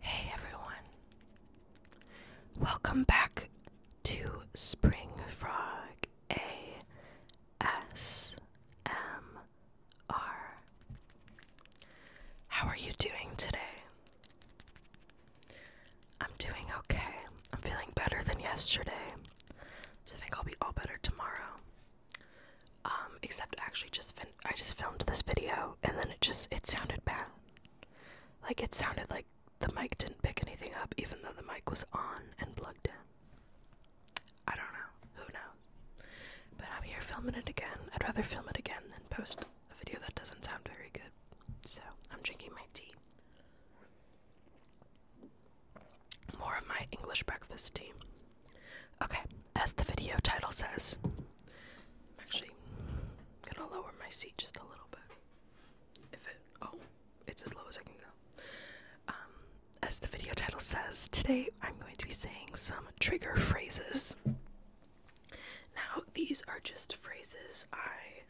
Hey everyone. Welcome back to Spring Frog A S M R. How are you doing today? I'm doing okay. I'm feeling better than yesterday. So I think I'll be all better tomorrow. Um, except actually just I just filmed this video and then it just it sounded bad. Like it sounded like the mic didn't pick anything up even though the mic was on and plugged in. I don't know. Who knows? But I'm here filming it again. I'd rather film it again than post a video that doesn't sound very good. So I'm drinking my tea. More of my English breakfast tea. Okay, as the video title says, I'm actually gonna lower my seat just a little bit. If it, oh, it's as low as I can go. Um, as the video title says, today I'm going to be saying some trigger phrases. Now, these are just phrases I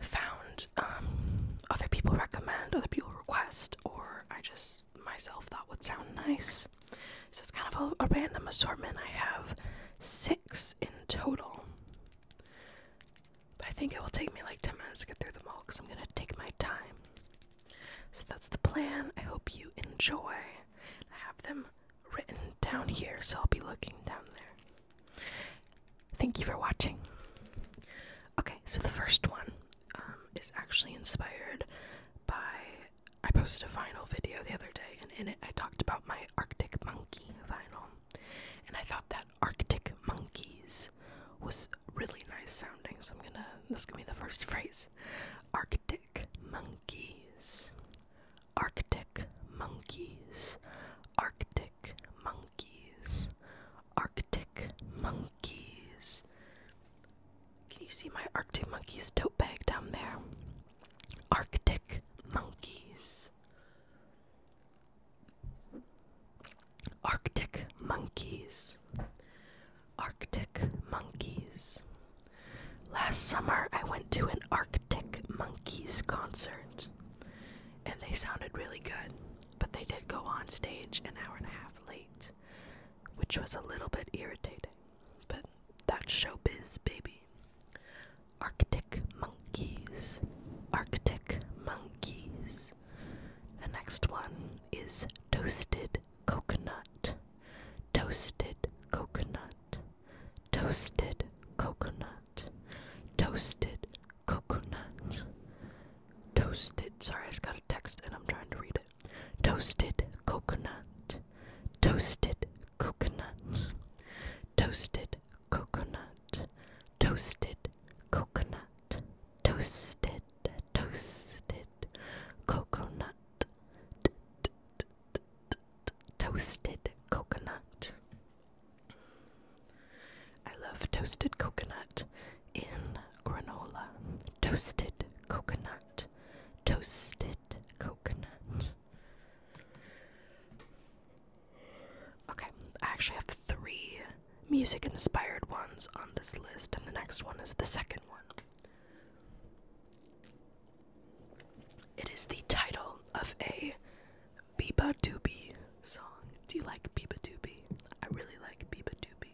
found um, other people recommend, other people request, or I just myself thought would sound nice. So it's kind of a, random assortment. I have six in total. But I think it will take me like 10 minutes to get through them all because I'm going to take my time. So that's the plan. I hope you enjoy. I have them written down here, so I'll be looking down there. Thank you for watching. Okay, so the first one um, is actually inspired by I posted a vinyl video the other day, and in it I talked about my Arctic Monkey vinyl, and I thought that Arctic Monkeys was really nice sounding. So I'm gonna that's gonna be the first phrase, Arctic Monkeys, Arctic Monkeys, Arctic Monkeys, Arctic Monkeys. Arctic monkeys monkeys. Can you see my Arctic monkeys tote bag down there? Arctic monkeys. Arctic monkeys. Arctic monkeys. Last summer I went to an Arctic monkeys concert and they sounded really good, but they did go on stage an hour and a half late which was a little bit irritating. But that showbiz, baby. Arctic monkeys. Arctic monkeys. The next one is toasted coconut. Toasted coconut. Toasted coconut. Toasted coconut. Toasted. Sorry, I just got a text and I'm trying to read it toasted coconut, toasted coconut, toasted coconut, toasted coconut, toasted, toasted coconut, toasted coconut. I love toasted coconut in granola. Toasted coconut. Toasted coconut. Okay, I actually have three music inspired ones on this list, and the next one is the second one. It is the title of a Biba Doobie song. Do you like Biba Doobie? I really like Biba Doobie.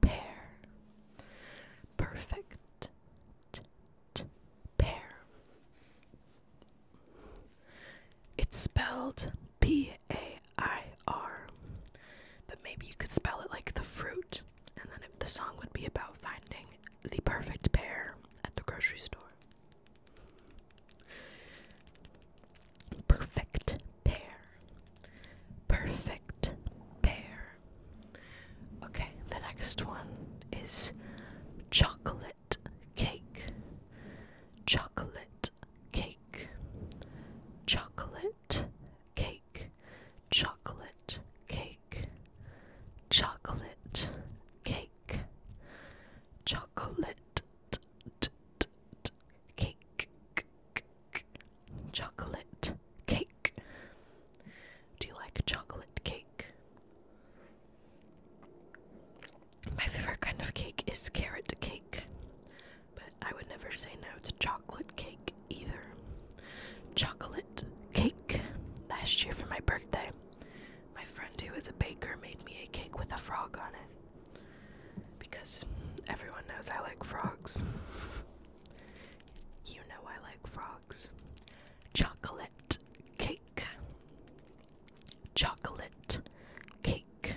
Pear. Perfect. Pair. It's spelled P A I R. But maybe you could spell it like the fruit, and then it, the song would be about finding the perfect pair at the grocery store. Perfect pear. Perfect pair. Okay, the next one is chocolate cake. Chocolate cake. Chocolate cake. Chocolate cake. Chocolate cake. Chocolate Cake. Chocolate cake. Do you like chocolate cake? My favorite kind of cake is carrot cake, but I would never say no to chocolate cake either. Chocolate cake. Last year for my birthday, my friend who is a baker made me a cake with a frog on it because everyone knows I like frogs. You know I like frogs. Chocolate cake. Chocolate cake.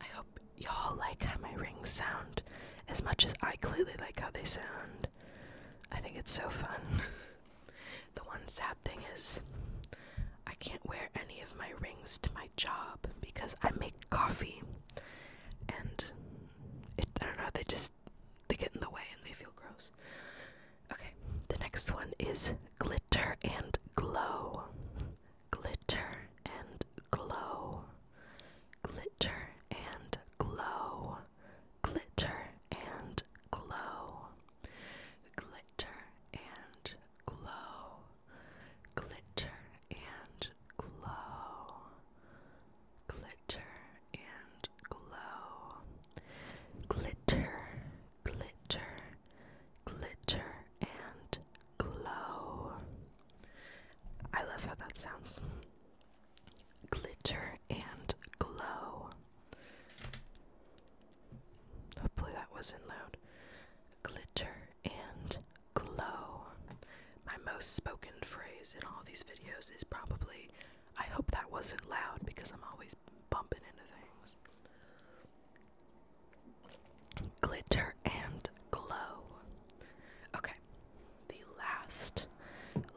I hope y'all like how my rings sound as much as I clearly like how they sound. I think it's so fun. the one sad thing is, I can't wear any of my rings to my job because I make coffee and it, I don't know, they just they get in the way and they feel gross. Okay, the next one is glitter and glow. Glitter and glow. Glitter and glow. Glitter and glow. Glitter and glow glitter and glow, glitter and glow, glitter, glitter, glitter and glow. I love how that sounds. Glitter and glow. Hopefully that wasn't loud glitter, and glow. My most spoken phrase in all these videos is probably, I hope that wasn't loud because I'm always bumping into things. Glitter and glow. Okay, the last,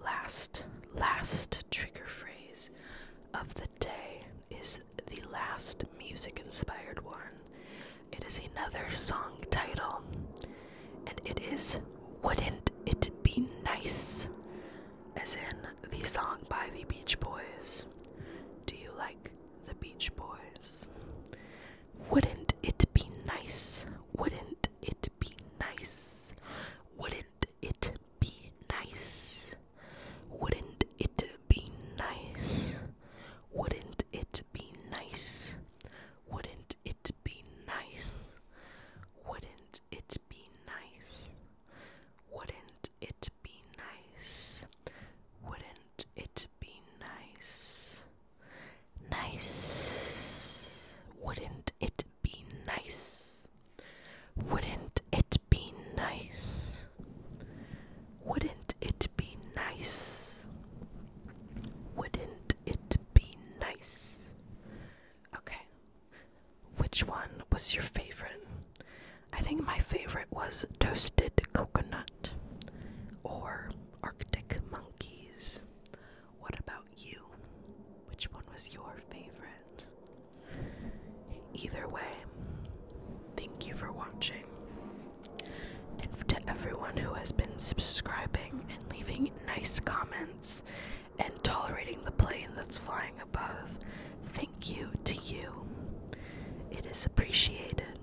last, last trigger phrase of the day is the last music inspired one. It is another song title, and it is Wouldn't It Be Nice? As in the song by the Beach Boys. Do you like the Beach Boys? Wouldn't it be nice? Wouldn't it be nice? Wouldn't it be nice? Wouldn't it be nice? Wouldn't it be nice? Wouldn't it be nice? Wouldn't it be nice? Wouldn't it be nice? Wouldn't it be nice? Nice. Wouldn't it be nice? Wouldn't it be nice? Wouldn't it be nice? Wouldn't it be nice? Okay. Which one was your favorite? I think my favorite was toasted coconut or arctic monkeys. What about you? Which one was your favorite? Either way, thank you for watching and to everyone who has been subscribing and leaving nice comments and tolerating the plane that's flying above. Thank you to you. It is appreciated.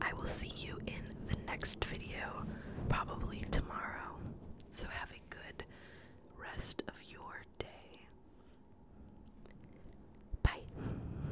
I will see you in the next video, probably tomorrow. So have a good rest of your day. Bye.